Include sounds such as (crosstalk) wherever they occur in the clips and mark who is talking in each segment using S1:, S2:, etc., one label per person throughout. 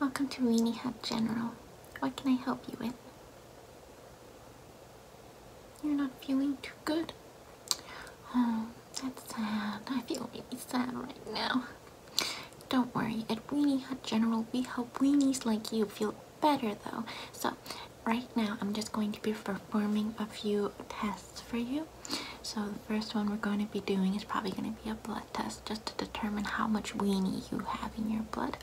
S1: Welcome to Weenie Hut General. What can I help you with? You're not feeling too good. Oh, that's sad. I feel really sad right now. Don't worry, at Weenie Hut General we help weenies like you feel better though. So right now I'm just going to be performing a few tests for you. So the first one we're going to be doing is probably going to be a blood test just to determine how much weenie you have in your blood.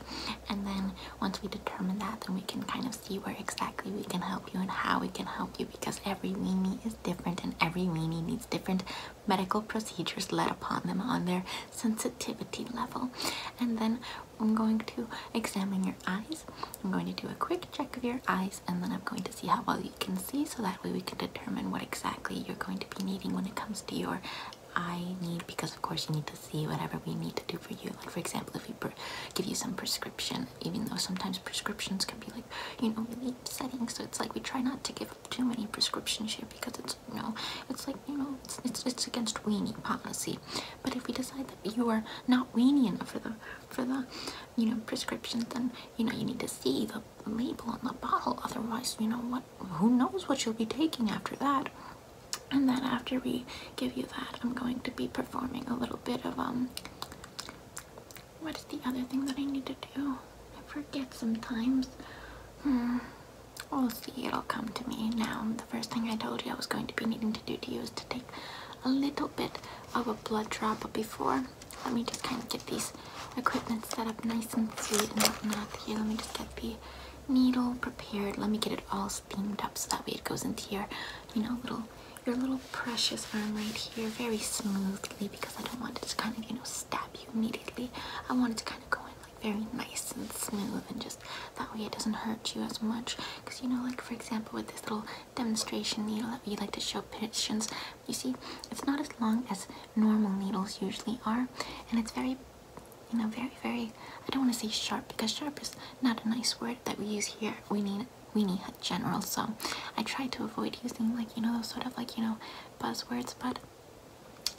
S1: And then once we determine that, then we can kind of see where exactly we can help you and how we can help you because every weenie is different and every weenie needs different medical procedures led upon them on their sensitivity level. And then I'm going to examine your eyes. I'm going to do a quick check of your eyes and then I'm going to see how well you can see so that way we can determine what exactly you're going to be needing when it comes to your I need because of course you need to see whatever we need to do for you like for example if we give you some prescription even though sometimes prescriptions can be like you know really upsetting so it's like we try not to give up too many prescriptions here because it's you know it's like you know it's, it's, against weaning policy but if we decide that you are not weaning enough for the for the you know prescription then you know you need to see the label on the bottle otherwise you know what who knows what you'll be taking after that. And then after we give you that, I'm going to be performing a little bit of, um, what is the other thing that I need to do? I forget sometimes. Hmm. We'll see, it'll come to me now. The first thing I told you I was going to be needing to do to you is to take a little bit of a blood drop, before, let me just kind of get these equipment set up nice and sweet and whatnot. Here, let me just get the needle prepared. Let me get it all steamed up so that way it goes into your, you know, little your little precious arm right here very smoothly because I don't want it to kind of, you know, stab you immediately. I want it to kind of go in like very nice and smooth and just that way it doesn't hurt you as much. Because you know, like for example with this little demonstration needle that we like to show patients, you see, it's not as long as normal needles usually are, and it's very you know very very i don't want to say sharp because sharp is not a nice word that we use here we need we need a general so i try to avoid using like you know those sort of like you know buzzwords but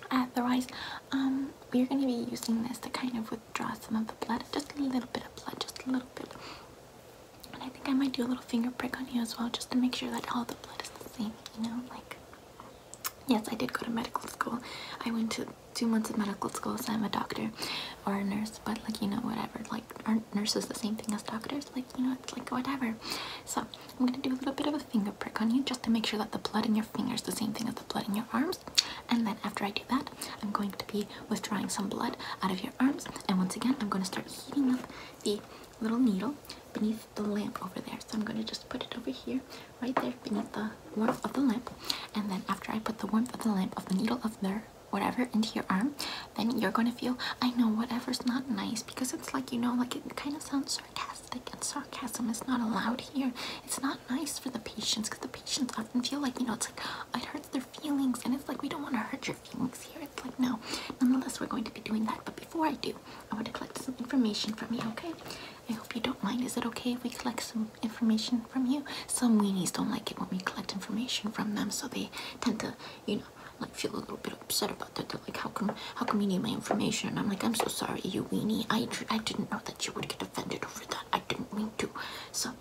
S1: otherwise um we're going to be using this to kind of withdraw some of the blood just a little bit of blood just a little bit and i think i might do a little finger prick on you as well just to make sure that all the blood is the same you know like Yes, I did go to medical school. I went to two months of medical school, so I'm a doctor or a nurse, but like, you know, whatever. Like, aren't nurses the same thing as doctors? Like, you know, it's like whatever. So, I'm gonna do a little bit of a finger prick on you just to make sure that the blood in your fingers is the same thing as the blood in your arms. And then after I do that, I'm going to be withdrawing some blood out of your arms. And once again, I'm gonna start heating up the little needle beneath the lamp over there. So I'm going to just put it over here, right there beneath the warmth of the lamp. And then after I put the warmth of the lamp of the needle of the whatever into your arm, then you're going to feel, I know, whatever's not nice. Because it's like, you know, like it kind of sounds sarcastic. And sarcasm is not allowed here. It's not nice for the patients because the patients often feel like, you know, it's like, it hurts their feelings. And it's like, we don't want to hurt your feelings here. It's like, no. Nonetheless, we're going to be doing that. But before I do, I want to collect some information from you, okay? I hope you don't mind. Is it okay if we collect some information from you? Some weenies don't like it when we collect information from them, so they tend to, you know, like feel a little bit upset about that. They're like, how come, how come you need my information? And I'm like, I'm so sorry, you weenie. I, I didn't know that you would get offended over that. I didn't mean to. So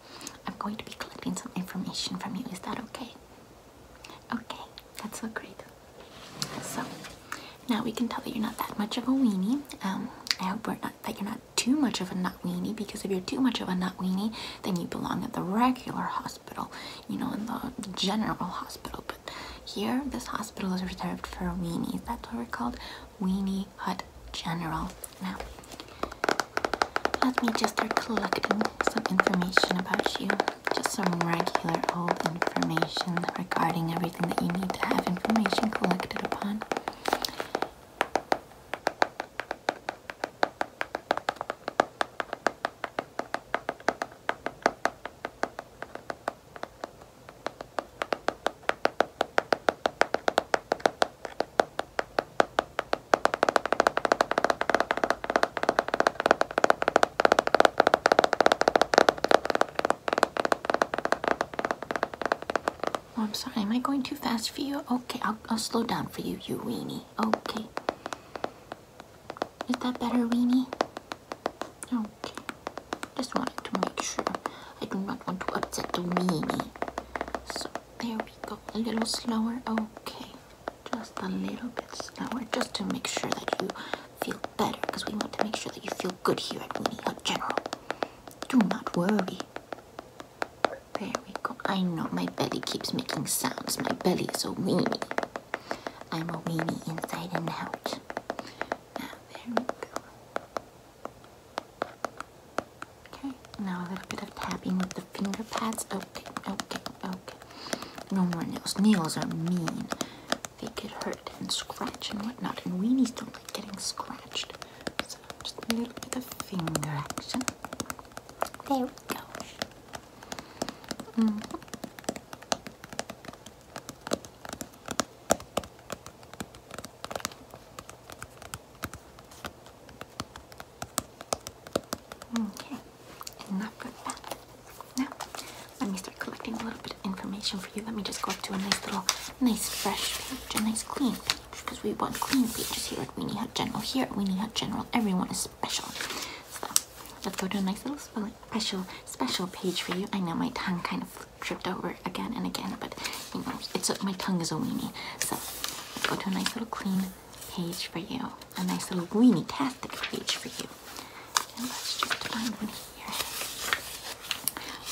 S1: I'm going to be collecting some information from you. Is that okay? Okay, that's so great. So now we can tell that you're not that much of a weenie. Um, I hope not, that you're not too much of a nut weenie because if you're too much of a nut weenie, then you belong at the regular hospital, you know, in the general hospital. But here, this hospital is reserved for weenies. That's what we're called, Weenie Hut General. Now, let me just start collecting some information about you. Just some regular old information regarding everything that you need to have information collected upon. Oh, I'm sorry. Am I going too fast for you? Okay, I'll, I'll slow down for you, you weenie. Okay. Is that better, weenie? Okay. Just wanted to make sure. I do not want to upset the weenie. So, there we go. A little slower. Okay. Just a little bit slower. Just to make sure that you feel better because we want to make sure that you feel good here at Winnie Hut General. Do not worry. There we go. I know my belly keeps making sounds. My belly is so weenie. I'm a weenie inside and out. Now, ah, there we go. Okay, now a little bit of tapping with the finger pads. Okay, okay, okay. No more nails. Nails are mean. They could hurt and scratch and whatnot, and weenies don't like getting scratched. So just a little bit of finger action. There we go. Mm-hmm. Okay, enough of that. Now, let me start collecting a little bit of information for you. Let me just go up to a nice little, nice fresh page, a nice clean page, because we want clean pages here at Weenie Hut General. Here Weenie Hut General, everyone is special. So let's go to a nice little special, special page for you. I know my tongue kind of tripped over again and again, but you know, it's a, my tongue is a weenie. So go to a nice little clean page for you, a nice little weenie-tastic page for you.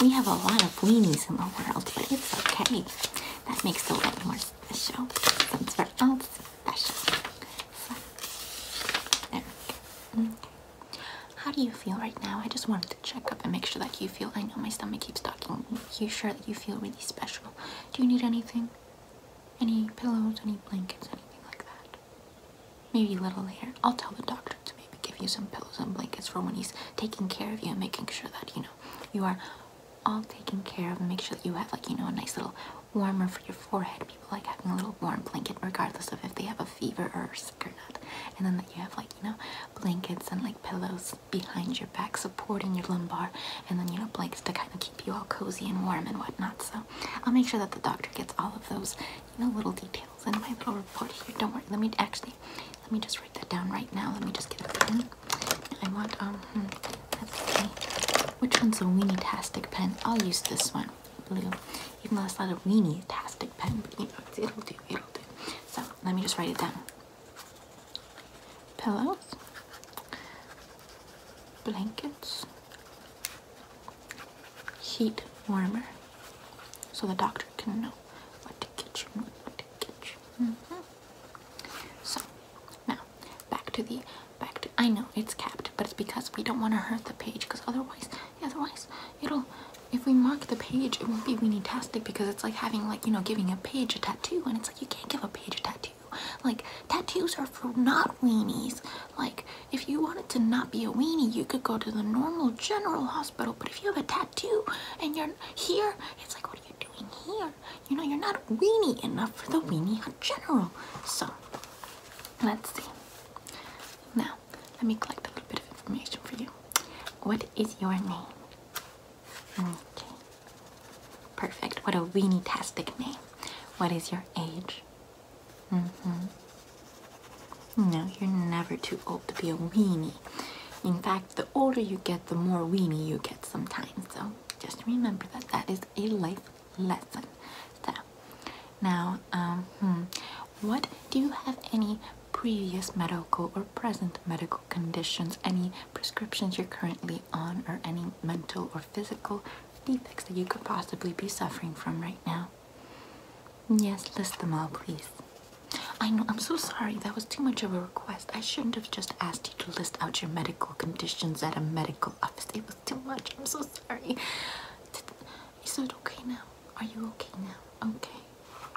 S1: We have a lot of weenies in the world, but it's okay. That makes the world more special. Since we special. Mm. How do you feel right now? I just wanted to check up and make sure that you feel. I know my stomach keeps talking. you sure that you feel really special? Do you need anything? Any pillows, any blankets, anything like that? Maybe a little later. I'll tell the doctor to maybe give you some pillows and blankets for when he's taking care of you and making sure that, you know, you are all taken care of and make sure that you have like, you know, a nice little warmer for your forehead. People like having a little warm blanket regardless of if they have a fever or sick or not. And then that you have like, you know, blankets and like pillows behind your back supporting your lumbar and then, you know, blankets to kind of keep you all cozy and warm and whatnot. So I'll make sure that the doctor gets all of those, little details Send my little report here. Don't worry. Let me actually, let me just write that down right now. Let me just get a pen. I want um. Hmm, Which one's a weenie-tastic pen? I'll use this one, blue. Even though it's not a weenie-tastic pen, but you know it'll do. It'll do. So let me just write it down. Pillows, blankets, heat warmer so the doctor can know what to get you and what to get you. Mm-hmm. So now back to the back I know it's capped, but it's because we don't want to hurt the page because otherwise otherwise it'll if we mark the page it won't be weenie-tastic because it's like having like you know giving a page a tattoo and it's like you can't give a page a tattoo. Like tattoos are for not weenies. Like if you wanted to not be a weenie you could go to the normal general hospital but if you have a tattoo and you're here, it's like, what are you doing here? You know, you're not weenie enough for the weenie in general. So, let's see. Now, let me collect a little bit of information for you. What is your name? Okay. Perfect. What a weenie-tastic name. What is your age? Mm-hmm. No, you're never too old to be a weenie. In fact, the older you get, the more weenie you get sometimes. So just remember that that is a life lesson. So now, um, hmm, what do you have any previous medical or present medical conditions, any prescriptions you're currently on, or any mental or physical defects that you could possibly be suffering from right now? Yes, list them all, please. I know, I'm so sorry. That was too much of a request. I shouldn't have just asked you to list out your medical conditions at a medical office. It was too much. I'm so sorry. Is it okay now? Are you okay now? Okay.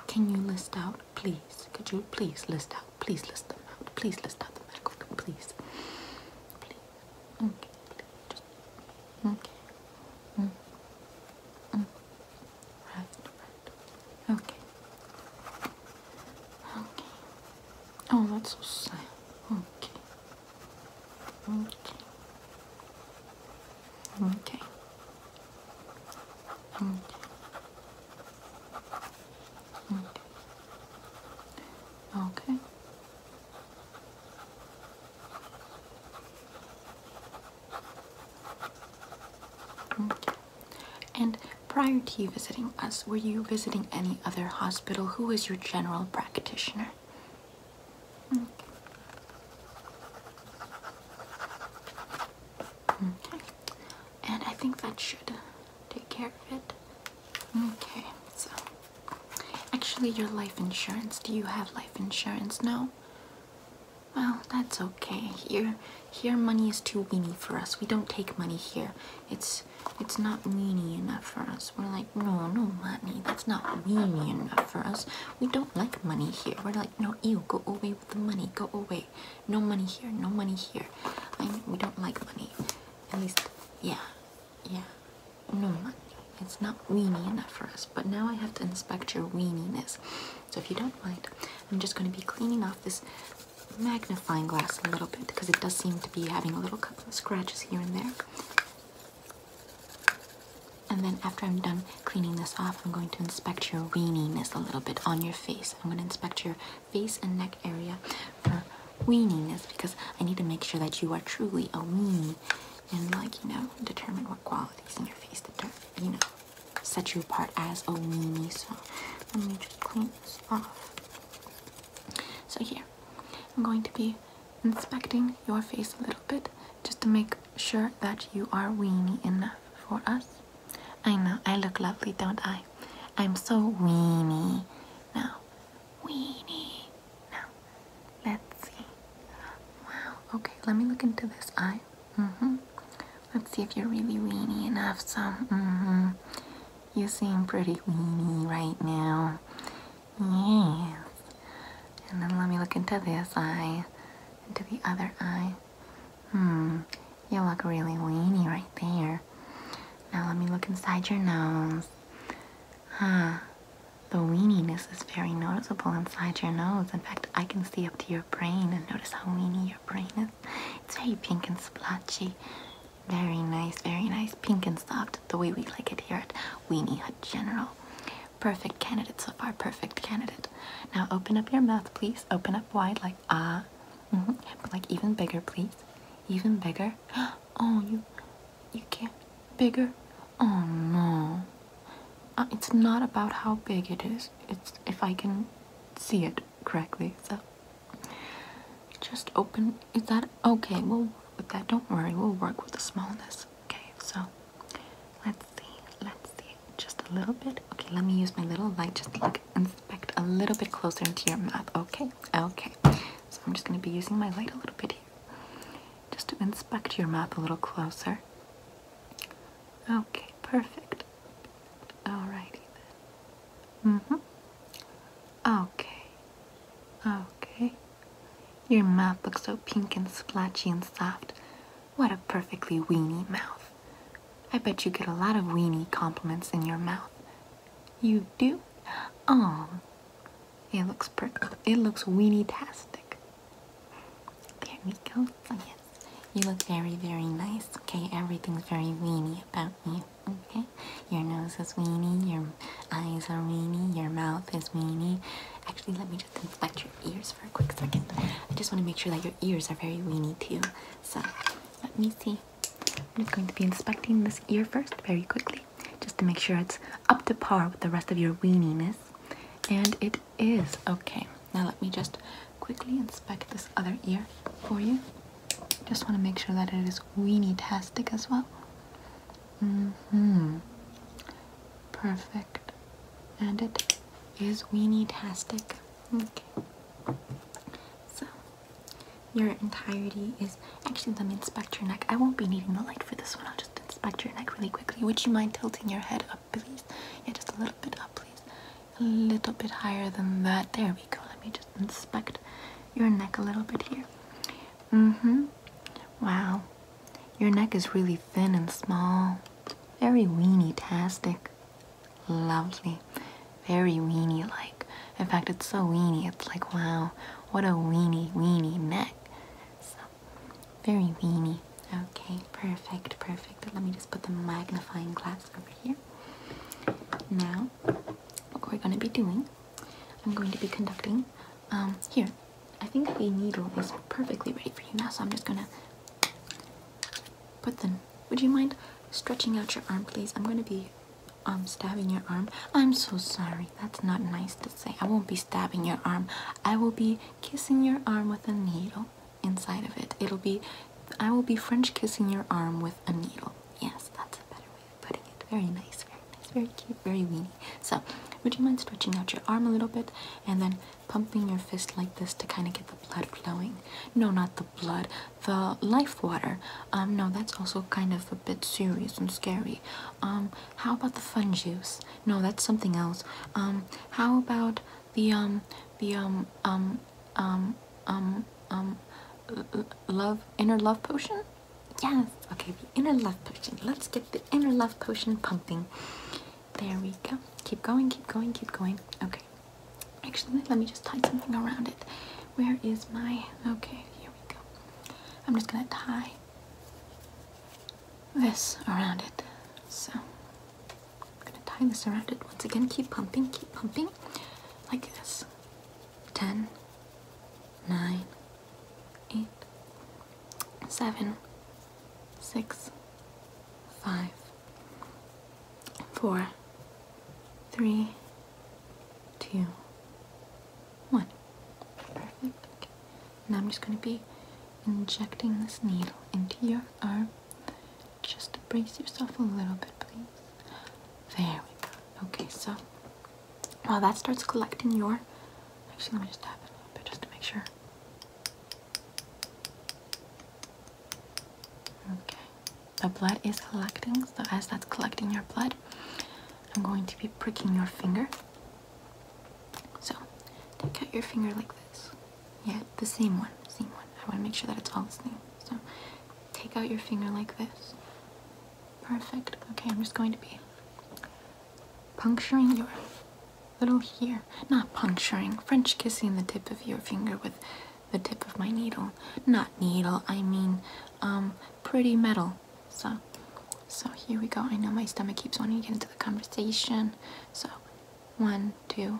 S1: Can you list out, please? Could you please list out? Please list them out. Please list out the medical. Please. Please. Okay. Okay. Mm, mm, mm. Right, right. Okay. Okay. Oh, that's so sad. Okay. Okay. Okay. Okay. Okay. Okay. Mm. And prior to visiting us, were you visiting any other hospital? Who is your general practitioner? Mm. And I think that should take care of it. Okay, so actually, your life insurance. Do you have life insurance? No? Well, that's okay. Here, here, money is too weeny for us. We don't take money here. It's, it's not weeny enough for us. We're like, no, no money. That's not weeny enough for us. We don't like money here. We're like, no, you go away with the money. Go away. No money here. No money here. we don't like money. At least, yeah, yeah. No money. It's not weeny enough for us. But now I have to inspect your weeniness. So if you don't mind, I'm just going to be cleaning off this magnifying glass a little bit because it does seem to be having a little couple of scratches here and there. And then after I'm done cleaning this off, I'm going to inspect your weeniness a little bit on your face. I'm going to inspect your face and neck area for weeniness because I need to make sure that you are truly a weenie and like, you know, determine what qualities in your face that, you know, set you apart as a weenie. So let me just clean this off. So here, I'm going to be inspecting your face a little bit just to make sure that you are weenie enough for us. I know, I look lovely, don't I? I'm so weenie. Now, weenie. Now, let's see. Wow, okay, let me look into this eye. Mm-hmm. Mm-hmm. Let's see if you're really weeny enough. So, mm-hmm. You seem pretty weeny right now. Yes. And then let me look into this eye, into the other eye. Hmm. You look really weeny right there. Now let me look inside your nose. Huh. The weeniness is very noticeable inside your nose. In fact, I can see up to your brain and notice how weeny your brain is. It's very pink and splotchy. Very nice, very nice. Pink and soft, the way we like it here at Weeny Hut General. Perfect candidate so far, perfect candidate. Now open up your mouth, please. Open up wide, like ah. Mm-hmm. like even bigger, please. Even bigger. (gasps) Oh, you, you can't. Bigger. Oh no. Uh, it's not about how big it is, it's if I can see it correctly. So just open. Is that okay? Well, with that. Don't worry, we'll work with the smallness. Okay, so let's see. Let's see. Just a little bit. Okay, let me use my little light just to inspect a little bit closer into your mouth. Okay, okay. So I'm just going to be using my light a little bit here. Just to inspect your mouth a little closer. Okay, perfect. Alrighty then. Mm-hmm. Okay. Okay. Your mouth looks so pink and splotchy and soft. What a perfectly weeny mouth. I bet you get a lot of weeny compliments in your mouth. You do? Oh. It looks per it looks weeny-tastic. There we go. Oh, yes. You look very, very nice. Okay, everything's very weeny about you. Okay? Your nose is weeny, your eyes are weeny, your mouth is weeny. Actually, let me just inspect your ears for a quick second. I just want to make sure that your ears are very weeny too. So, let me see. I'm just going to be inspecting this ear first very quickly just to make sure it's up to par with the rest of your weeniness. And it is. Okay, now let me just quickly inspect this other ear for you. Just want to make sure that it is weenie-tastic as well. Mm-hmm. Perfect. And it is weenie-tastic. Okay. So, your entirety is... Actually, let me inspect your neck. I won't be needing the light for this one. I'll just inspect your neck really quickly. Would you mind tilting your head please. Yeah, just a little bit up, please. A little bit higher than that. There we go. Let me just inspect your neck a little bit here. Mm-hmm. Wow. Your neck is really thin and small. Very weenie-tastic. Lovely. Very weenie-like. In fact, it's so weenie. It's like, wow, what a weenie, weenie neck. So, very weenie. Okay, perfect, perfect. Let me just put the magnifying glass over here. Now, what we're going to be doing, I'm going to be conducting. Um, here, I think the needle is perfectly ready for you now, so I'm just going to put the. Would you mind stretching out your arm, please? I'm going to be um, stabbing your arm. I'm so sorry. That's not nice to say. I won't be stabbing your arm. I will be kissing your arm with a needle inside of it. It'll be, I will be French kissing your arm with a needle. Yes, that's a better way of putting it. Very nice, very nice, very cute, very weeny. So, would you mind stretching out your arm a little bit and then pumping your fist like this to kind of get the blood flowing? No, not the blood, the life water. Um, no, that's also kind of a bit serious and scary. Um, how about the fun juice? No, that's something else. Um, how about the um the um um um um um love inner love potion. Yes. Okay, the inner love potion. Let's get the inner love potion pumping. There we go. Keep going. Keep going. Keep going. Okay. Actually, let me just tie something around it. Where is my? Okay, here we go. I'm just gonna tie this around it. So I'm gonna tie this around it once again. Keep pumping, keep pumping. Like this. 10, 9, 8, 7, 6, 5, 4, 3, 2, 1. Perfect. Now I'm just going to be injecting this needle into your arm just brace yourself a little bit, please. There we go. Okay, so while that starts collecting your, actually, let me just tap it a little bit just to make sure. Okay, the blood is collecting. So as that's collecting your blood, I'm going to be pricking your finger. So take out your finger like this. Yeah, the same one, same one. I want to make sure that it's all the same. So, take out your finger like this. Perfect. Okay, I'm just going to be puncturing your little here. Not puncturing, French kissing the tip of your finger with the tip of my needle. Not needle, I mean, um, pretty metal. So, so here we go. I know my stomach keeps wanting to get into the conversation. So, one, two,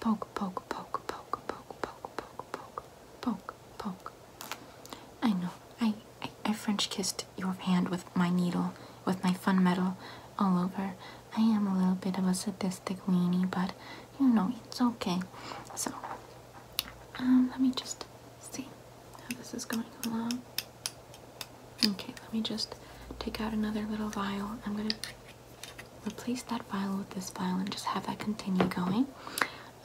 S1: poke, poke, poke, poke, poke, poke, poke, poke, poke, poke. I know. I, I I French kissed your hand with my needle, with my fun metal, all over. I am a little bit of a sadistic weenie, but you know it's okay. So, um, let me just see how this is going along. Okay, let me just take out another little vial. I'm gonna replace that vial with this vial and just have that continue going.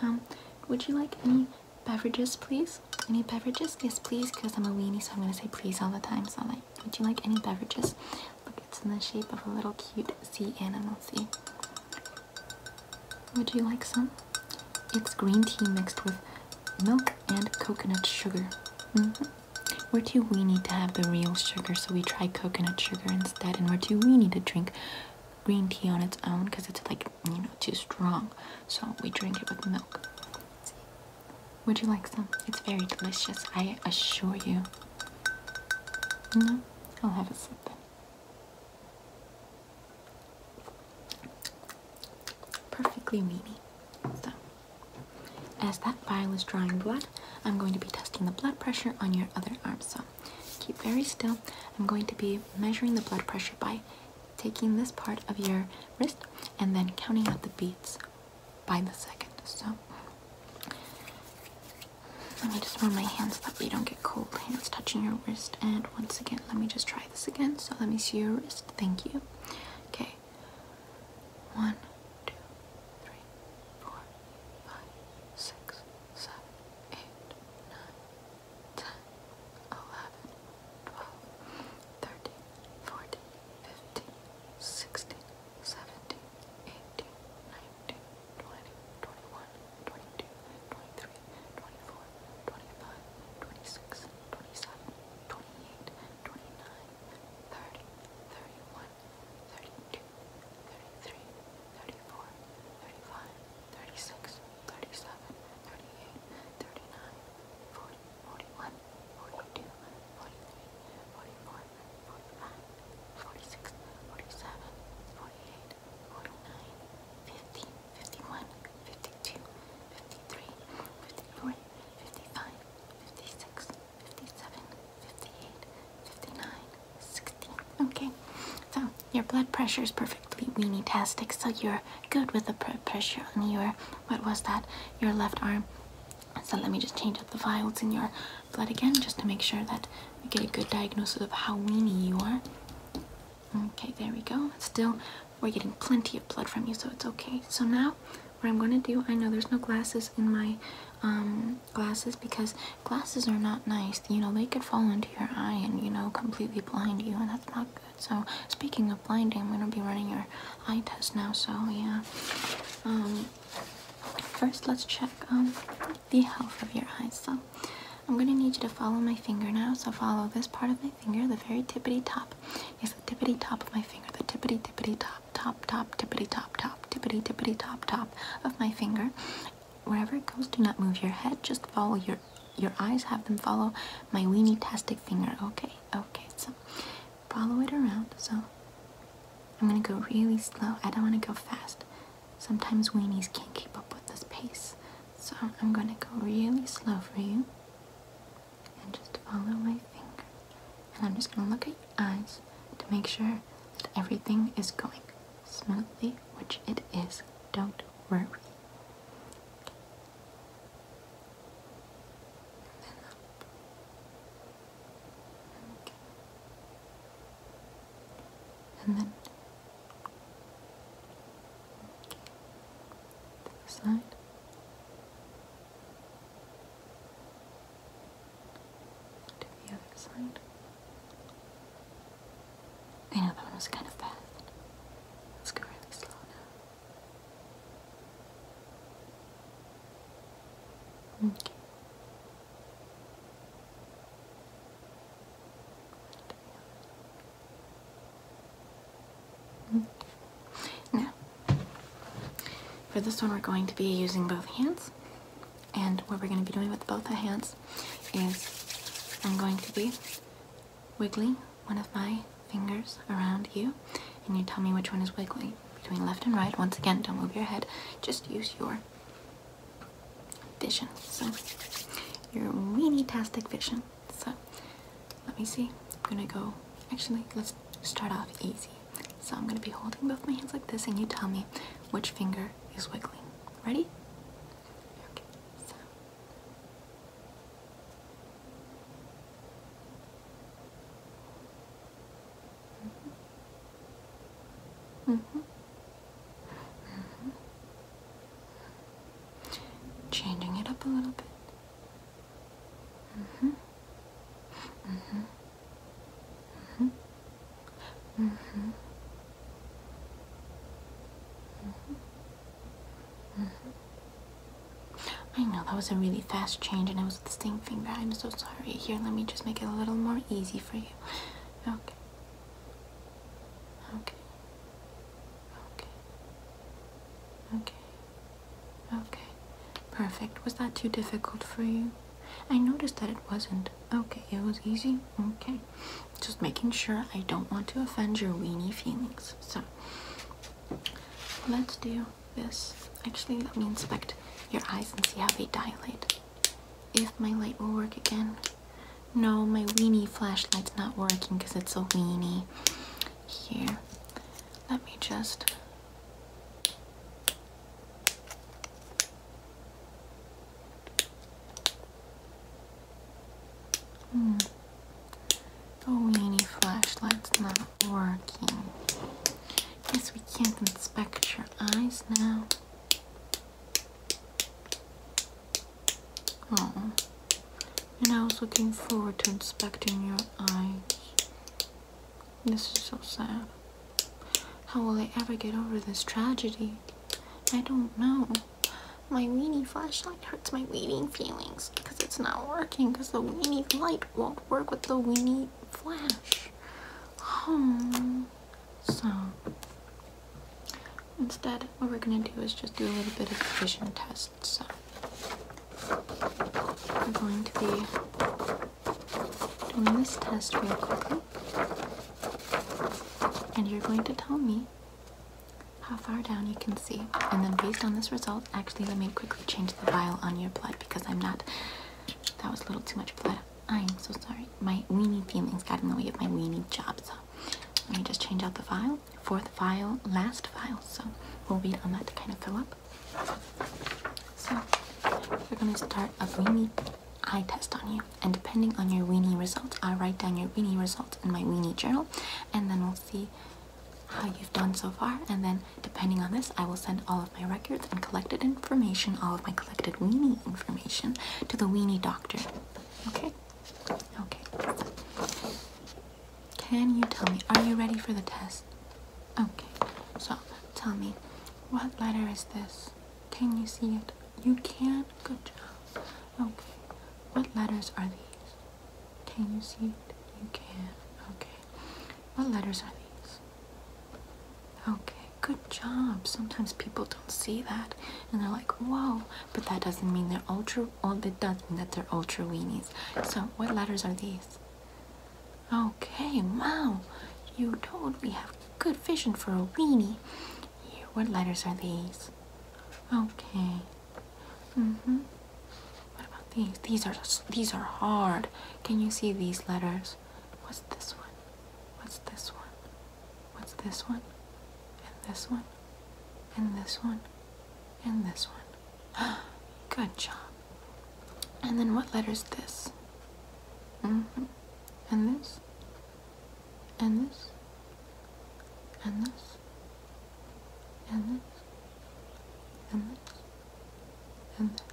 S1: Um, would you like any beverages, please? Any beverages? Yes, please, because I'm a weenie, so I'm going to say please all the time. So, I'm like, would you like any beverages? Look, it's in the shape of a little cute sea animal. See? Would you like some? It's green tea mixed with milk and coconut sugar. Mm -hmm. We're too weenie to have the real sugar, so we try coconut sugar instead, and we're too weenie to drink green tea on its own because it's like you know too strong so we drink it with milk would you like some it's very delicious i assure you no mm-hmm. i'll have a sip then. perfectly meaty so as that vial is drawing blood i'm going to be testing the blood pressure on your other arm so keep very still. I'm going to be measuring the blood pressure by taking this part of your wrist and then counting out the beats by the second. So let me just warm my hands so that we don't get cold hands touching your wrist. And once again, let me just try this again. So let me see your wrist. Thank you. Okay. One, two, three, four, five, six, seven, eight, nine, ten, eleven, twelve, thirteen, fourteen, fifteen, sixteen, seventeen, eighteen, nineteen, twenty, twenty-one, twenty-two, twenty-three, twenty-four, twenty-five, twenty-six, twenty-seven, twenty-eight, twenty-nine, thirty, thirty-one, thirty-two, thirty-three. 34, 36, 37, 38, 39, 40, 41, 42, 43, 44, 45, 46, 47, 48, 49, 50, 51, 52, 53, 54, 55, 56, 57, 58, 59, 16. Okay, so your blood pressure is perfectly weenie-tastic, so you're good with the pressure on your, what was that, your left arm. So let me just change up the vials in your blood again, just to make sure that we get a good diagnosis of how weeny you are. Okay, there we go. Still, we're getting plenty of blood from you, so it's okay. So now, what I'm going to do, I know there's no glasses in my um, glasses because glasses are not nice. You know, they could fall into your eye and, you know, completely blind you, and that's not good. So, speaking of blinding, I'm going to be running your eye test now, so yeah. Um, first, let's check um, the health of your eyes. So, I'm going to need you to follow my finger now. So, follow this part of my finger, the very tippity top. Yes, the tippity top of my finger, the tippity tippity top, top, top, tippity top, top, tippity tippity top, top of my finger wherever it goes do not move your head just follow your your eyes have them follow my weenie tastic finger okay okay so follow it around so i'm gonna go really slow i don't want to go fast sometimes weenies can't keep up with this pace so i'm gonna go really slow for you and just follow my finger and i'm just gonna look at your eyes to make sure that everything is going smoothly which it is. Don't worry. And then side. To the other side. I know that one was kind of bad. Let's go really slow now. Okay. okay. Now, for this one, we're going to be using both hands. And what we're going to be doing with both our hands is I'm going to be wiggling one of my fingers around you, and you tell me which one is wiggling between left and right. Once again, don't move your head, just use your vision. So, your weeny tastic vision. So, let me see. I'm going to go, actually, let's start off easy. So, I'm going to be holding both my hands like this, and you tell me which finger is wiggling. Ready? Mm-hmm. Mm-hmm. Mm-hmm. Changing it up a little bit. Mm-hmm. Mm-hmm. Mm-hmm. I know that was a really fast change and I was with the same finger. I'm so sorry. Here, let me just make it a little more easy for you. Okay. Okay. Okay. Okay. Okay. Perfect. Was that too difficult for you? I noticed that it wasn't. Okay, it was easy. Okay. Just making sure I don't want to offend your weenie feelings. So let's do this. Actually, let me inspect your eyes and see how they dilate. If my light will work again. No, my weenie flashlight's not working because it's a weenie. Here, let me just. Hmm. The oh, weenie flashlight's not working. Guess we can't inspect your eyes now. Oh. And I was looking forward to inspecting your eyes. This is so sad. How will I ever get over this tragedy? I don't know my weenie flashlight hurts my weenie feelings because it's not working because the weenie light won't work with the weenie flash. Hmm. So instead what we're gonna do is just do a little bit of vision tests. So we're going to be doing this test real quickly. And you're going to tell me how far down you can see. And then based on this result, actually let me quickly change the vial on your blood because I'm not, that was a little too much blood. I'm so sorry. My weeny feelings got in the way of my weeny job. So let me just change out the vial. Fourth vial, last vial. So we'll wait on that to kind of fill up. So we're going to start a weeny eye test on you and depending on your weenie result i write down your weenie result in my weenie journal and then we'll see how you've done so far and then depending on this i will send all of my records and collected information all of my collected weenie information to the weenie doctor okay okay can you tell me are you ready for the test okay so tell me what letter is this can you see it you can good job Okay, oh, what letters are these? Can you see it? You can. Okay. What letters are these? Okay, good job. Sometimes people don't see that and they're like, whoa, but that doesn't mean they're ultra oh that does mean that they're ultra weenies. So what letters are these? Okay, wow. You totally have good vision for a weenie. Here, what letters are these? these? Okay. Mhm. what about these? These are these are hard. Can you see these letters? What's this one? What's this one? What's this one? And this one? And this one? And this one. (gasps) Good job. And then what letters is this? Mhm. and this? and this, and this, and this, and this, and this.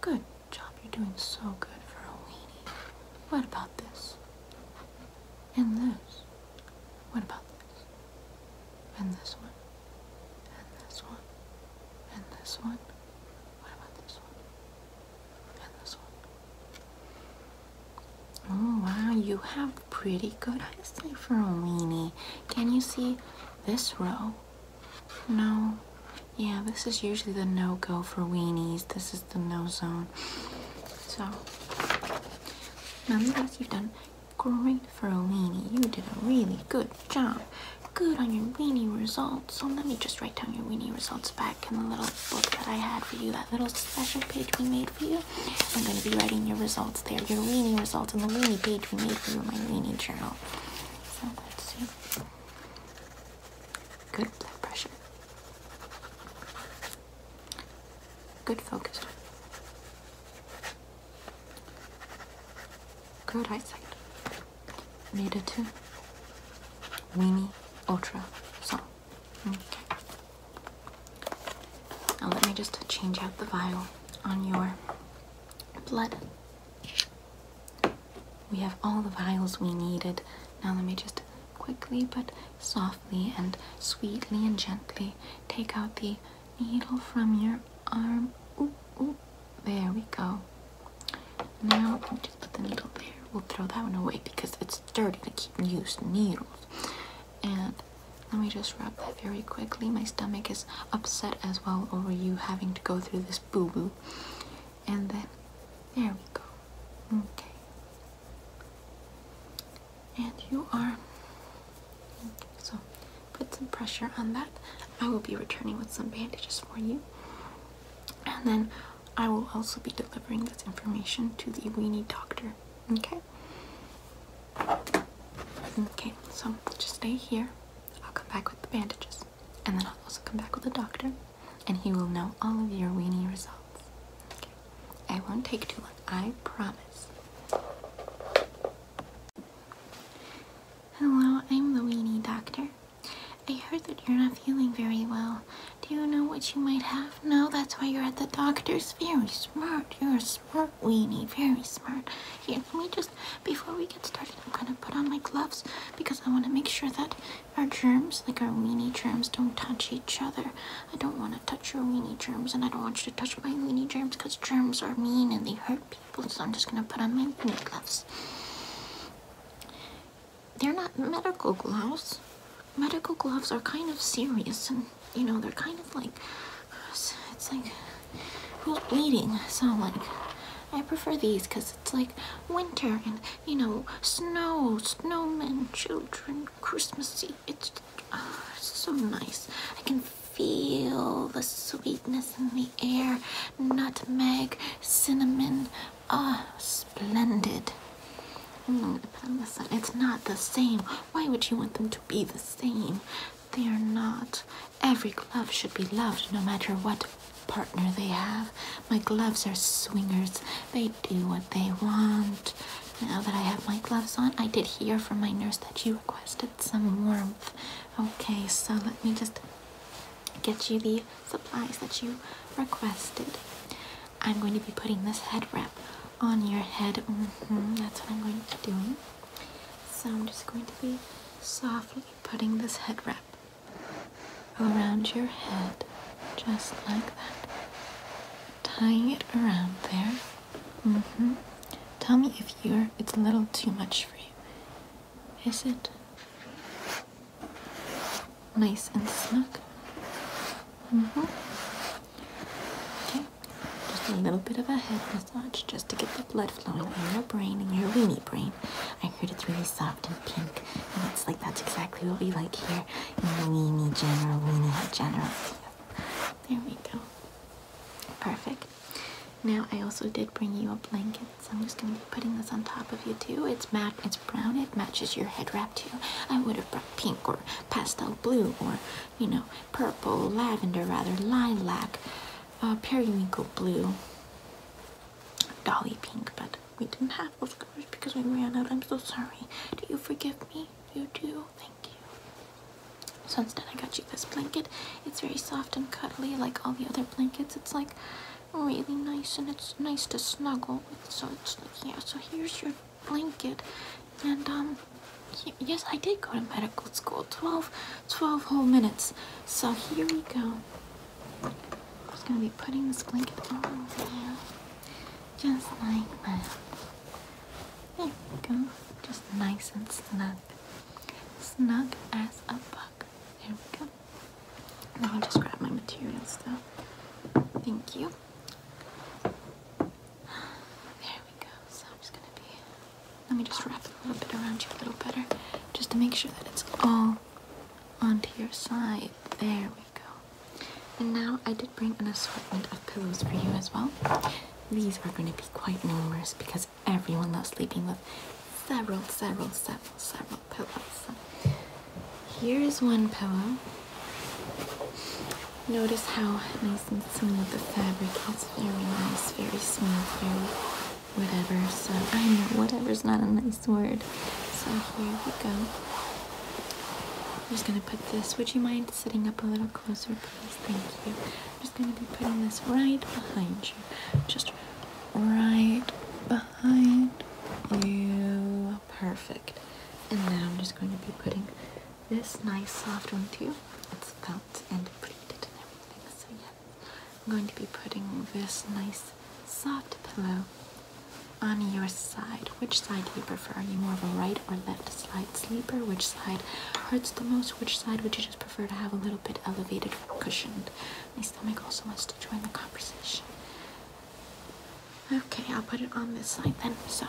S1: Good job, you're doing so good for a weenie. What about this? And this. What about this? And this one. And this one. And this one. What about this one? Oh wow, you have pretty good eyesight for a weenie. Can you see this row? No. Yeah, this is usually the no-go for weenies. This is the no zone. So, nonetheless, you've done great for a weenie. You did a really good job. Good on your weenie results. So let me just write down your weenie results back in the little book that I had for you, that little special page we made for you. I'm going to be writing your results there, your weenie results, and the weenie page we made for you in my weenie journal. So let's see. Good blood pressure. Good focus. Good eyesight. Made it to Weenie Ultra Song. Now let me just change out the vial on your blood. We have all the vials we needed. Now let me just quickly but softly and sweetly and gently take out the needle from your arm. There we go. Now, just put the needle there. We'll throw that one away because it's sturdy to keep used needles. And let me just wrap that very quickly. My stomach is upset as well over you having to go through this boo boo. And then, there we go. Okay. And you are. so put some pressure on that. I will be returning with some bandages for you. And then I will also be delivering this information to the weenie doctor. Okay? Okay, so just stay here. I'll come back with the bandages. And then I'll also come back with the doctor. And he will know all of your weenie results. Okay. I won't take too long. I promise. Hello, I'm the weenie doctor. I heard that you're not feeling very well. Do you know what you might have? No, that's why you're at the doctor's. Very smart. You're a smart weenie. Very smart. Here, let me just, before we get started, I'm going to put on my gloves because I want to make sure that our germs, like our weenie germs, don't touch each other. I don't want to touch your weenie germs and I don't want you to touch my weenie germs because germs are mean and they hurt people. So I'm just going to put on my gloves they're not medical gloves. Medical gloves are kind of serious and you know, they're kind of like, it's, like, who's bleeding? So like, I prefer these because it's like winter and, you know, snow, snowmen, children, Christmassy. Ah, it's so nice. I can feel the sweetness in the air, nutmeg, cinnamon, Ah, oh, splendid. i It's not the same. Why would you want them to be the same? They are not. Every glove should be loved no matter what partner they have. My gloves are swingers. They do what they want. Now that I have my gloves on, I did hear from my nurse that you requested some warmth. Okay, so let me just get you the supplies that you requested. I'm going to be putting this head wrap on your head. Mm-hmm, that's what I'm going to be doing. So I'm just going to be softly putting this head wrap around your head, just like that. Tying it around there. Mm-hmm. Tell me if you're it's a little too much for you. Is it? nice and snug. Mm-hmm. Okay, just a little bit of a head massage just to get the blood flowing in your brain, in your weeny brain. I heard it's really soft and pink, and it's like that's exactly what we like here in the weeny general, weeny general. There we go. Perfect. Now I also did bring you a blanket, so I'm just going to be putting this on top of you too. It's matte, it's brown, it matches your head wrap too. I would have pink or pastel blue or you know purple lavender rather lilac uh, periwinkle blue dolly pink but we didn't have those colors because we ran out i'm so sorry do you forgive me you do thank you so instead i got you this blanket it's very soft and cuddly like all the other blankets it's like really nice and it's nice to snuggle with so it's like yeah so here's your blanket and um, yes i did go to medical school 12 whole minutes so here we go just going to be putting this blanket on there just like that there we go just nice and snug snug as a bug there we go now i just grab my materials though thank you there we go. So I'm just gonna be. Let me just wrap a little bit around you a little better, just to make sure that it's all onto your side. There we go. And now I did bring an assortment of pillows for you as well. These are going to be quite numerous because everyone loves sleeping with several, several, several, several pillows. Here is one pillow. Notice how nice and smooth the fabric is. Very nice, very smooth, very whatever. So I know whatever's not a nice word. So here we go. I'm just gonna put this. Would you mind sitting up a little closer, please? Thank you. I'm just gonna be putting this right behind you. Just right behind you. Perfect. And now I'm just going to be putting this nice soft one through. It's felt and printed and everything. So yeah, I'm going to be putting this nice soft pillow on your side. Which side do you prefer? Are you more of a right or left side sleeper? Which side hurts the most? Which side would you just prefer to have a little bit elevated or cushioned? My stomach also wants to join the conversation. Okay, I'll put it on this side then. So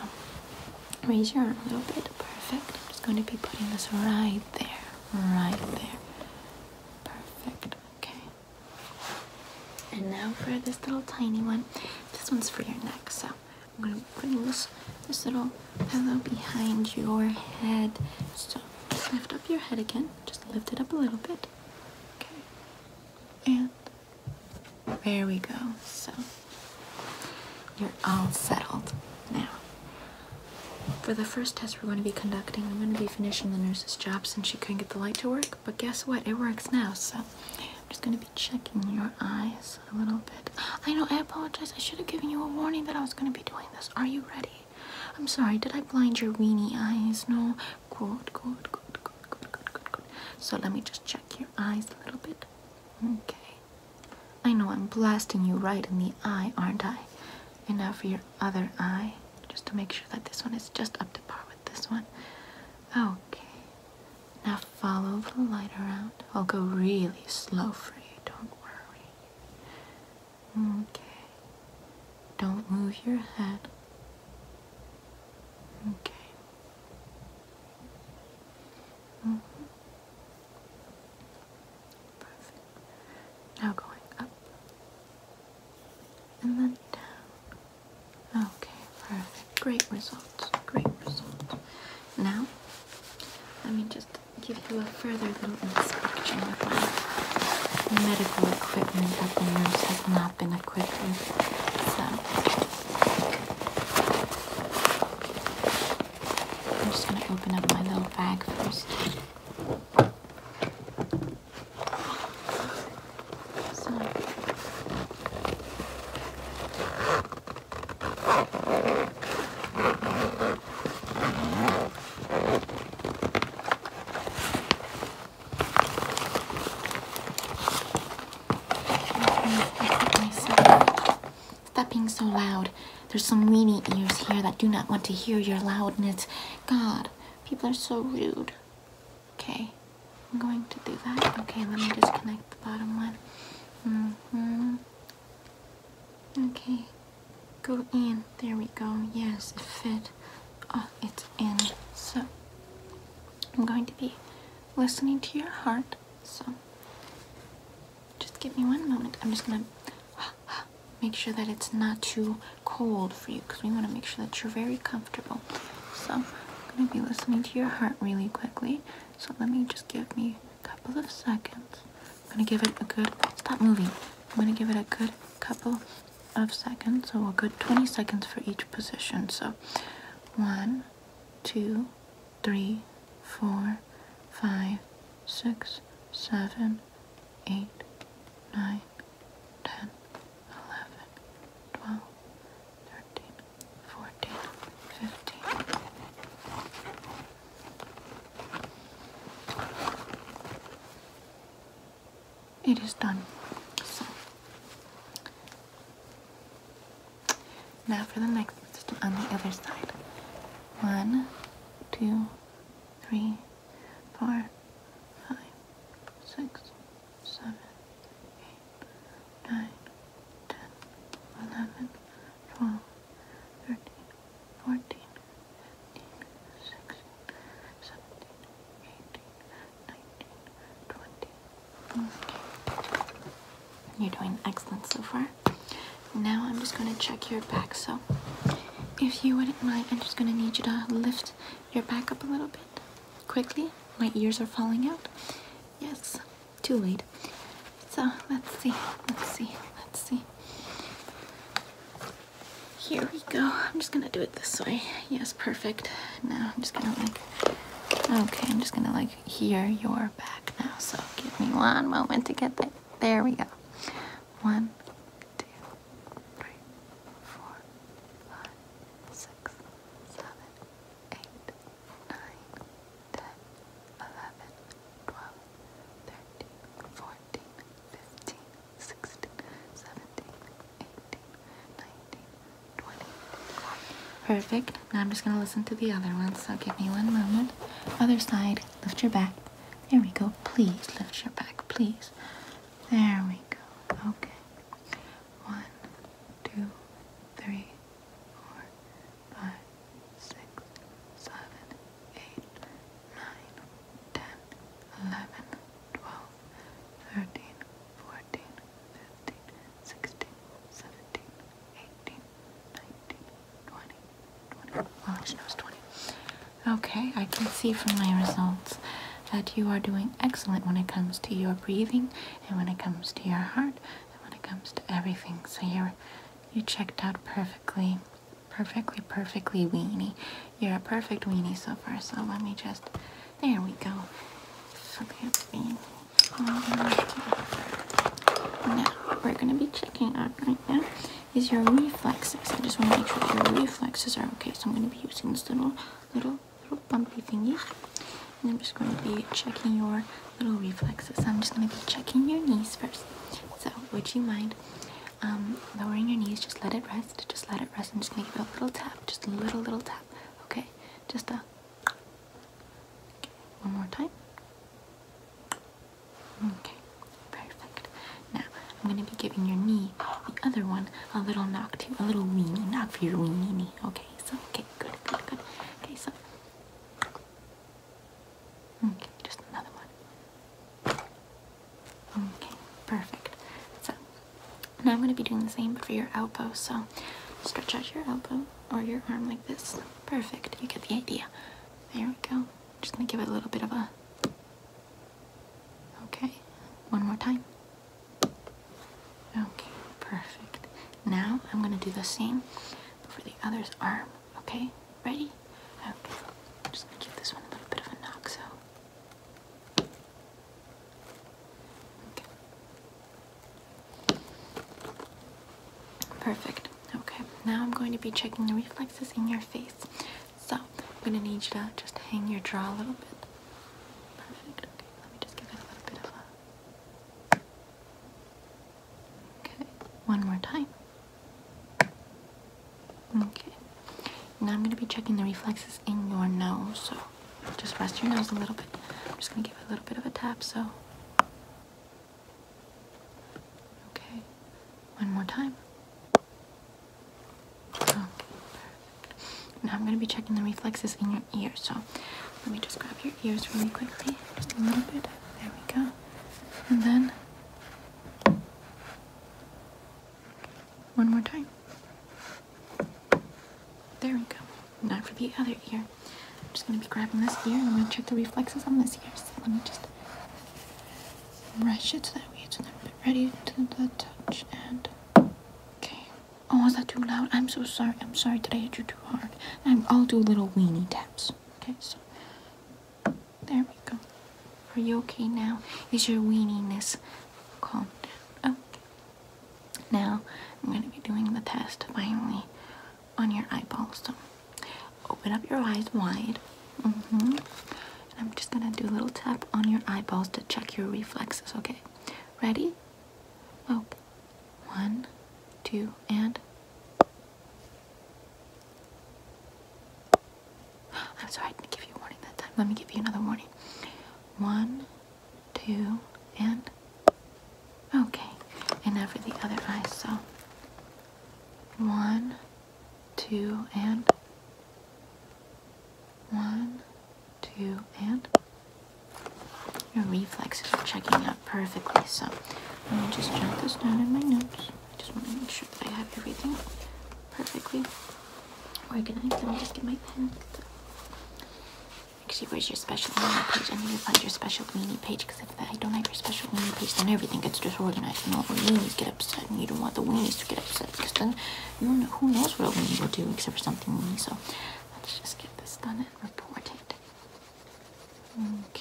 S1: raise your arm a little bit. Perfect. I'm just going to be putting this right there. Right there. Perfect. Okay. And now for this little tiny one. This one's for your neck, so I'm gonna bring this this little pillow behind your head. So lift up your head again. Just lift it up a little bit. Okay. And there we go. So you're all settled now. For the first test we're going to be conducting, I'm going to be finishing the nurse's job since she couldn't get the light to work. But guess what? It works now. So I'm just going to be checking your eyes a little bit. I know, I apologize. I should have given you a warning that I was going to be doing this. Are you ready? I'm sorry, did I blind your weeny eyes? No? Good, good, good, good, good, good, good, good. So let me just check your eyes a little bit. Okay. I know I'm blasting you right in the eye, aren't I? And now for your other eye, just to make sure that this one is just up to par with this one. Okay. Now follow the light around. I'll go really slow for you, don't worry. Okay. Don't move your head. Okay. Mm-hmm. Now going up and then down. Okay, perfect. Great results. Great results. Now, let me just give you a further little inspection of my medical equipment that the nurse has not been it quickly. So I'm just gonna open up my little bag first. So Stop being so loud. There's some weenie ears here that do not want to hear your loudness. God, people are so rude. Okay, I'm going to do that. Okay, let me disconnect the bottom one. hmm Okay, go in. There we go. Yes, it fit. Oh, it's in. So, I'm going to be listening to your heart so just give me one moment. I'm just gonna (gasps) make sure that it's not too cold for you because we want to make sure that you're very comfortable. So I'm gonna be listening to your heart really quickly. So let me just give me a couple of seconds. I'm gonna give it a good stop moving. I'm gonna give it a good couple of seconds, so a good 20 seconds for each position. So one, two, three, four, five, six, seven, eight, nine, ten, eleven, twelve, thirteen, fourteen, fifteen. It is done. Now for the next system on the other side. One, two, three, four, five, six, seven, eight, nine, ten, eleven, twelve, thirteen, fourteen, fifteen, sixteen, seventeen, eighteen, nineteen, twenty. Mm. You're doing excellent so far. Now I'm just gonna check your back. So, if you wouldn't mind, I'm just gonna need you to lift your back up a little bit quickly. My ears are falling out. Yes, too late. So let's see, let's see, let's see. Here we go. I'm just gonna do it this way. Yes, perfect. Now I'm just gonna like, okay, I'm just gonna like hear your back now, so give me one moment to get there. There we go. One, two, three, four, five, six, seven, eight, nine, ten, eleven, twelve, thirteen, fourteen, fifteen, sixteen, seventeen, eighteen, nineteen. Perfect. Now I'm just going to listen to the other one, so give me one moment. Other side, lift your back. There we go. Please lift your back, please. There we go. Okay. One, two, three, four, five, six, seven, eight, nine, ten, eleven, twelve, thirteen, fourteen, fifteen, sixteen, seventeen, eighteen. Okay, I can see from my results that you are doing excellent when it comes to your breathing and when it comes to your heart and when it comes to everything. So you're you checked out perfectly. Perfectly, perfectly weenie. You're a perfect weenie so far, so let me just there we go. Okay, um, now, what we're going to be checking up right now is your reflexes. I just want to make sure your reflexes are okay. So I'm going to be using this little, little, little bumpy thingy. And I'm just going to be checking your little reflexes. I'm just going to be checking your knees first. So would you mind um, lowering your knees? Just let it rest. Just let it rest. I'm just going to give it a little tap. Just a little, little tap. Okay? Just a one more time. Okay, perfect. Now I'm going to be giving your knee, the other one, a little knock to a little weenie knock for your weenie knee. Okay, so okay, good, good, good. Okay, so okay, just another one. Okay, perfect. So now I'm going to be doing the same for your elbow. So stretch out your elbow or your arm like this. Perfect, you get the idea. There we go. Just gonna give it a little bit of a... Okay, one more time. Okay, perfect. Now I'm gonna do the same for the other's arm, okay? Ready? Okay, just gonna give this one a little bit of a knock, so... Okay. Perfect. Okay, now I'm going to be checking the reflexes in your face. So, I'm going to need you to just hang your jaw a little bit. Perfect. Okay, let me just give it a little bit of a. Okay, one more time. Okay, now I'm going to be checking the reflexes in your nose. So, just rest your nose a little bit. I'm just going to give it a little bit of a tap. So, Okay, one more time. Now I'm gonna be checking the reflexes in your ear, so let me just grab your ears really quickly, just a little bit. There we go. And then one more time. There we go. Not for the other ear. I'm just gonna be grabbing this ear and I'm gonna check the reflexes on this ear. So let me just brush it to that way it's a ready to the touch and okay. Oh, was that too loud? I'm so sorry. I'm sorry. Did I hit you too hard? i will do little weenie taps. Okay, so there we go. Are you okay now? Is your weeniness calm down? Okay. Now I'm gonna be doing the test finally on your eyeballs. So open up your eyes wide. Mm-hmm. I'm just gonna do a little tap on your eyeballs to check your reflexes, okay? Ready? Oh, one, two, and I'm sorry, I give you a warning that time. Let me give you another warning. One, two, and Okay, and now for the other eye. So, one, two, and one, two, and your reflexes are checking out perfectly. So, let me just jot this down in my notes. I just want to make sure that I have everything perfectly organized. Let me just get my pen. Actually, where's your special meaning page? I need to find your special meaning page because if I don't have your special meaning page, then everything gets disorganized and all the weenies get upset, and you don't want the weenies to get upset because then you know, who knows what a weenie will do except for something weenie. So let's just get this done and report it. Okay.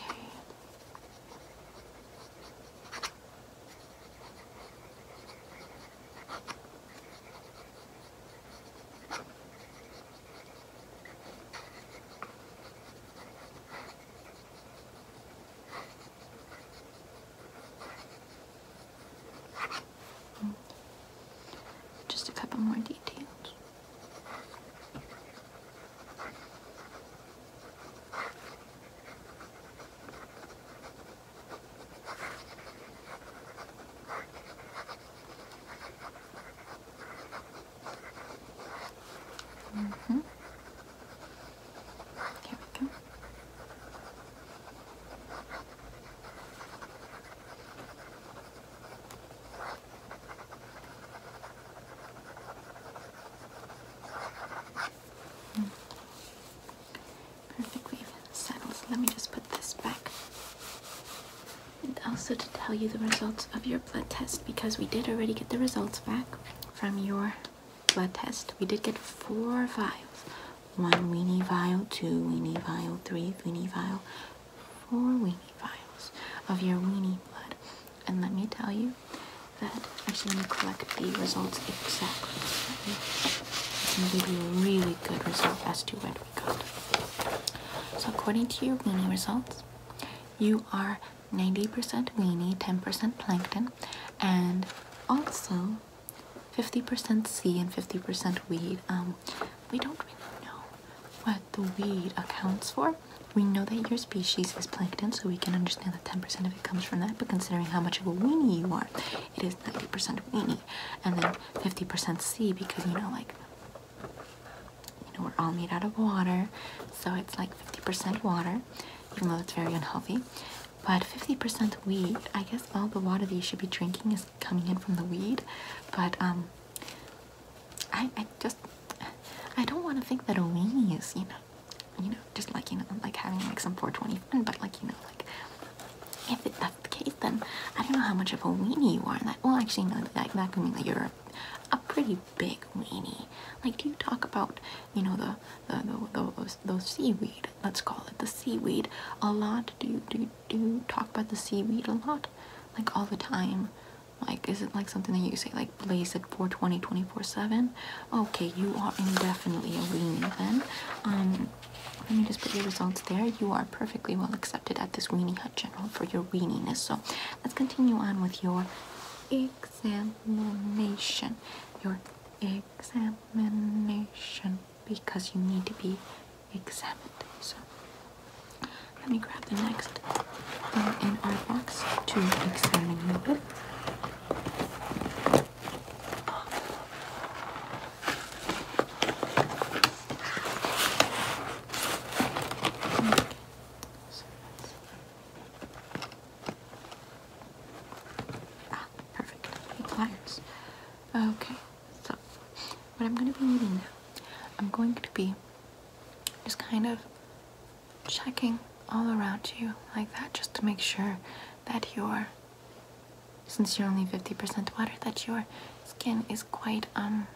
S1: Just a couple more details. Mm -hmm. Here we go. Mm. Perfect Let me just put this back and also to tell you the results of your blood test because we did already get the results back from your blood test. We did get four vials. One weenie vial, two weenie vial, three weenie vial, four weenie vials of your weenie blood. And let me tell you that actually let me collect the results exactly. So gonna give you a really good result as to what we got. So according to your weenie results, you are 90% weenie, 10% plankton, and also 50% sea and 50% weed. Um, we don't really know what the weed accounts for. We know that your species is plankton, so we can understand that 10% of it comes from that, but considering how much of a weenie you are, it is 90% weenie, and then 50% sea because, you know, like you know, we're all made out of water, so it's like 50% water, even though it's very unhealthy. But 50% weed, I guess all the water that you should be drinking is coming in from the weed. But um, I, just, I don't want to think that a weenie is, you know, you know, just like, you know, like having like some 420 but like, you know, like, if it, that's the case, then I don't know how much of a weenie you are. And that, well, actually, no, that, that mean that you're a pretty big weenie. Like, do you talk about, you know, the the the, the, seaweed? Let's call it the seaweed a lot. Do you do you, talk about the seaweed a lot? Like all the time. Like, is it like something that you say like blaze at 420 24/7? Okay, you are indefinitely a weenie then. Um, let me just put your results there. You are perfectly well accepted at this weenie hut general for your weeniness. So Let's continue on with your examination. Your examination because you need to be examined. So let me grab the next um, in our box to examine you with. Okay. So that's Ah, perfect. Pliers. Okay, so what I'm going to be needing now, I'm going to be just kind of checking all around you like that just to make sure that your, since you're only 50% water, that your skin is quite um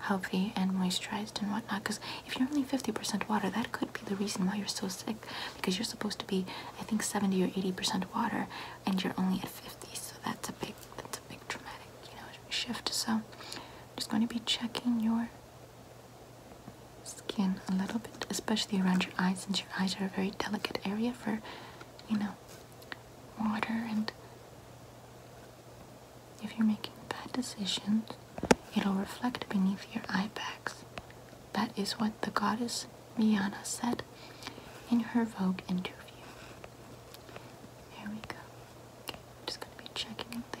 S1: healthy and moisturized and whatnot because if you're only 50% water that could be the reason why you're so sick because you're supposed to be i think 70 or 80% water and you're only at 50 so that's a big that's a big dramatic you know shift so i'm just going to be checking your skin a little bit especially around your eyes since your eyes are a very delicate area for you know water and if you're making bad decisions, it'll reflect beneath your eye bags. That is what the goddess Miana said in her Vogue interview. There we go. just gonna be checking in there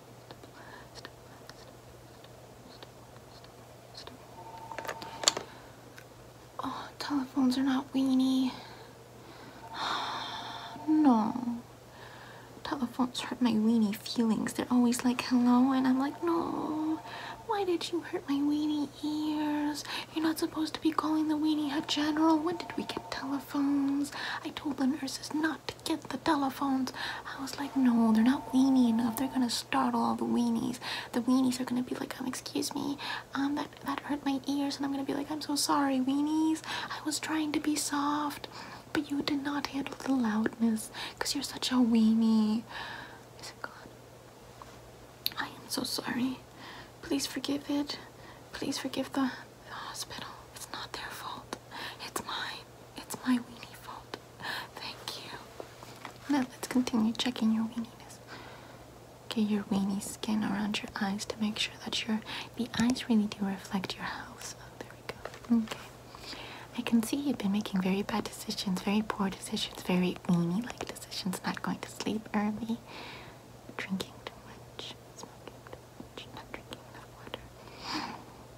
S1: Oh, telephones are not weenie. (sighs) No. Telephones hurt my weenie feelings. They're always like, hello, and I'm like, no. Why did you hurt my weenie ears? You're not supposed to be calling the weenie a general. When did we get telephones? I told the nurses not to get the telephones. I was like, no, they're not weenie enough. They're gonna startle all the weenies. The weenies are gonna be like, um, excuse me, um, that that hurt my ears, and I'm gonna be like, I'm so sorry, weenies. I was trying to be soft, but you did not handle the loudness, cause you're such a weenie. Is I am so sorry. Please forgive it. Please forgive the hospital. It's not their fault. It's mine. It's my weenie fault. Thank you. Now let's continue checking your weeniness. Get your weenie skin around your eyes to make sure that your the eyes really do reflect your house. Oh, there we go. Okay. I can see you've been making very bad decisions, very poor decisions, very weenie-like decisions. Not going to sleep early, drinking too much, smoking too much, not drinking enough water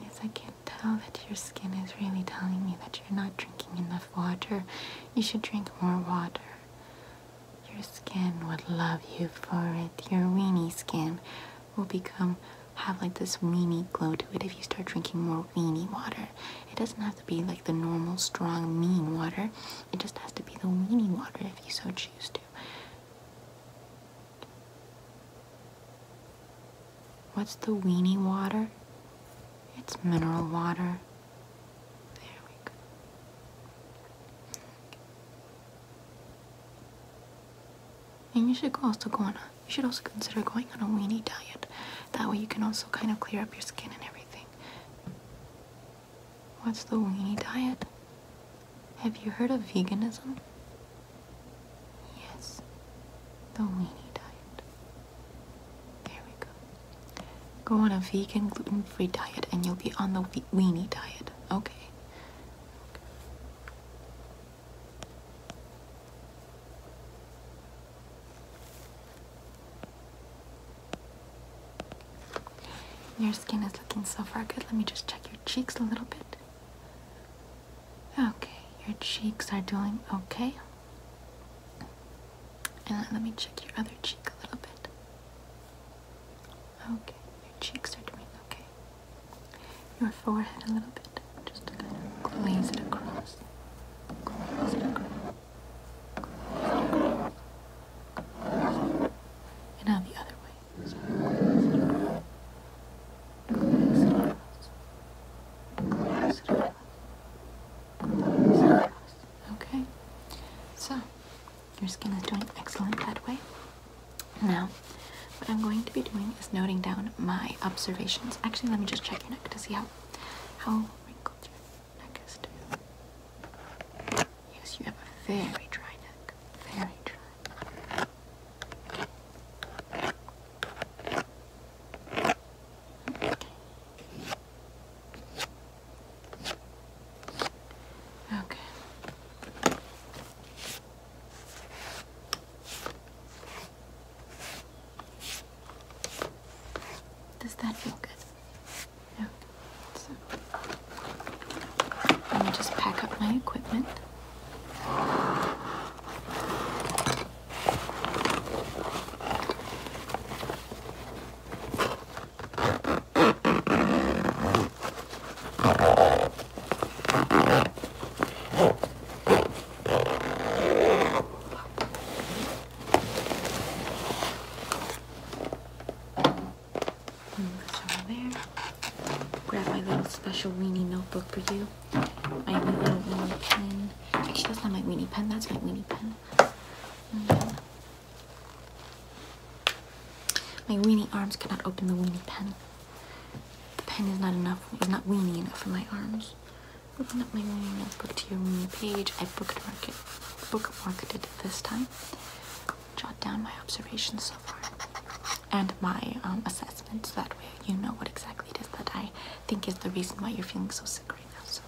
S1: Yes, I can tell that your skin is really telling me that you're not drinking enough water. You should drink more water. Your skin would love you for it. Your weeny skin will become have like this weeny glow to it if you start drinking more weeny water. It doesn't have to be like the normal strong mean water. It just has to be the weeny water if you so choose to. What's the weenie water? It's mineral water. There we go. And you should also go on you should also consider going on a weenie diet. That way you can also kind of clear up your skin and everything. What's the weenie diet? Have you heard of veganism? Yes, the weenie diet. There we go. Go on a vegan, gluten-free diet and you'll be on the weenie diet. Okay. Your skin is looking so far good. Let me just check your cheeks a little bit. Okay, your cheeks are doing okay. And let me check your other cheek a little bit. Okay, your cheeks are doing okay. Your forehead a little bit. Just to kind of glaze it across. And now the other way. across. Okay, so your skin is doing excellent that way. Now, what I'm going to be doing is noting down my observations. Actually, let me just check your neck to see how how wrinkled your neck is. Yes, you have a very dry neck. Very dry. Okay. Does that feel good? No. So, let me just pack up my equipment. Move this over there. Grab my little special weenie notebook for you my little weenie pen. Actually, that's not my weenie pen. That's my weenie pen. Mm. my weenie arms cannot open the weenie pen. The pen is not enough. It's not weenie enough for my arms. Open up my weenie notebook to your weenie page. I bookmarked bookmarked it this time. Jot down my observations so far and my um, assessment. And so that way you know what exactly it is that I think is the reason why you're feeling so sick right now. So,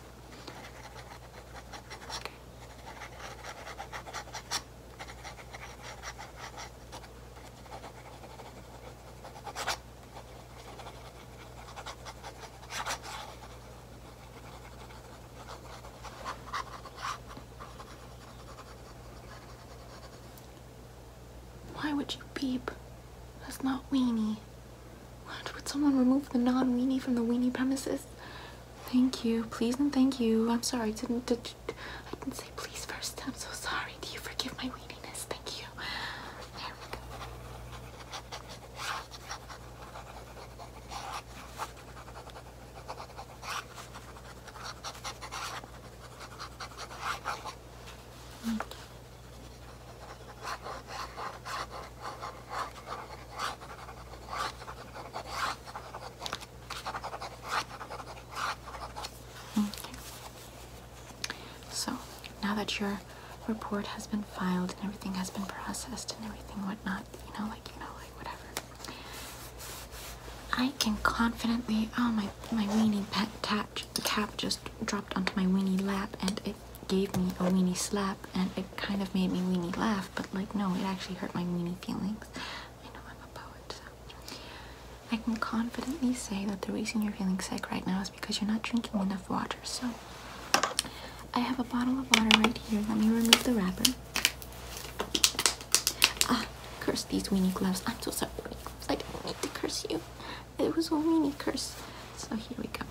S1: why would you beep? That's not weenie. What? Would someone remove the non-weenie from the weenie premises? Thank you. Please and thank you. I'm sorry. Didn't, did, I didn't say please first. I'm so sorry. Do you forgive my weeniness? Thank you. Okay. Okay. So now that your report has been filed and everything has been processed and everything whatnot, you know, like you know, like whatever. I can confidently oh my my weenie pet tat the cap just dropped onto my weenie lap and it gave me a weenie slap and it kind of made me weenie laugh but like no it actually hurt my weenie feelings i know i'm a poet so i can confidently say that the reason you're feeling sick right now is because you're not drinking enough water so i have a bottle of water right here let me remove the wrapper ah curse these weenie gloves i'm so sorry i don't need to curse you it was a weenie curse. So here we go.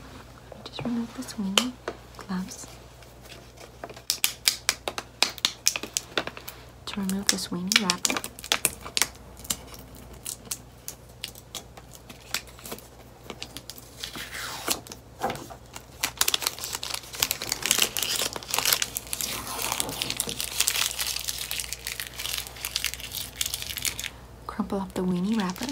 S1: Let me just remove this weenie gloves. To remove this weenie wrapper crumple up the weenie wrapper.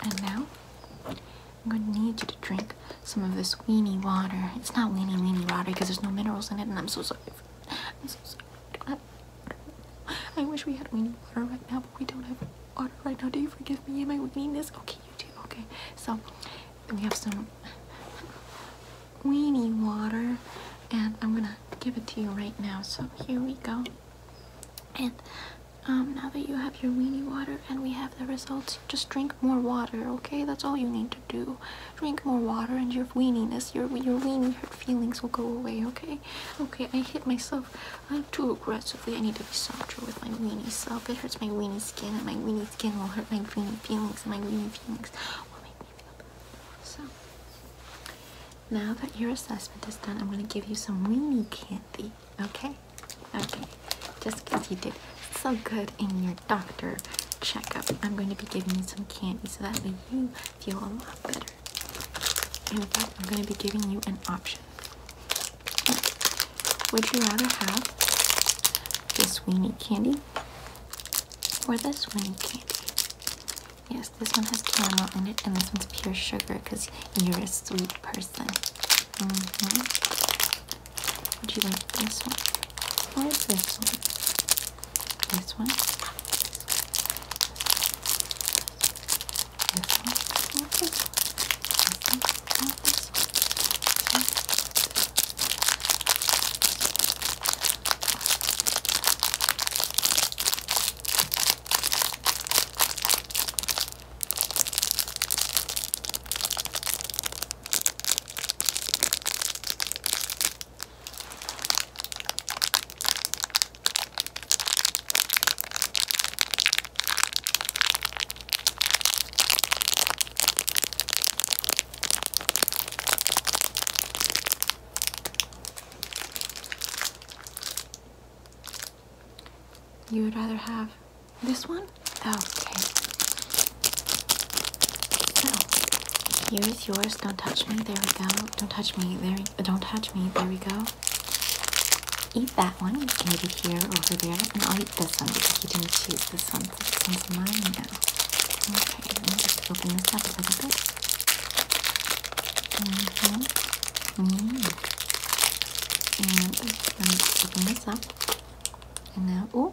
S1: And now I'm going to need you to drink some of this weenie water. It's not weenie weenie water because there's no minerals in it, and I'm so sorry. I'm so sorry. I, wish we had weenie water right now, but we don't have water right now. Do you forgive me and my weeniness? Okay, you do. Okay, so we have some weenie water, and I'm gonna give it to you right now. So here we go. And um, now that you have your weenie water and we have the results, just drink more water, okay? That's all you need do. Drink more water and your weeniness, your, your weenie hurt feelings will go away, okay? Okay, I hit myself I'm uh, too aggressively. I need to be softer with my weenie self. It hurts my weenie skin and my weenie skin will hurt my weenie feelings and my weenie feelings will make me feel bad. So, now that your assessment is done, I'm going to give you some weenie candy, okay? Okay, just because you did so good in your doctor checkup. I'm going to be giving you some candy so that you feel a lot better. In fact, I'm going to be giving you an option. Would you rather have this weenie candy or this weenie candy? Yes, this one has caramel in it, and this one's pure sugar because you're a sweet person. Mm-hmm. Would you like this one or this This one? This one? You would rather have this one Okay. So, here is yours. Don't touch me. There we go. Don't touch me. There. don't touch me. There we go. Eat that one. You can eat it here, over there, and I'll eat this one because you didn't choose this one. this one's mine now. Okay. I'm just opening this up a little bit. Mm -hmm. Mm. And let me open this up. And now, ooh.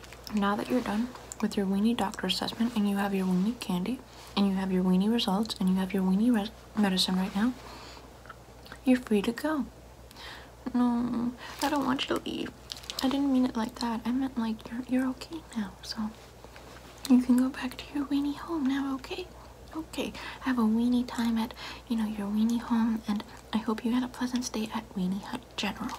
S1: Now that you're done with your weenie doctor assessment and you have your weenie candy and you have your weenie results and you have your weenie medicine right now, you're free to go. No, I don't want you to leave. I didn't mean it like that. I meant like you're, you're okay now. So you can go back to your weenie home now, okay? Okay, have a weenie time at, you know, your weenie home, and I hope you had a pleasant stay at Weenie Hut General.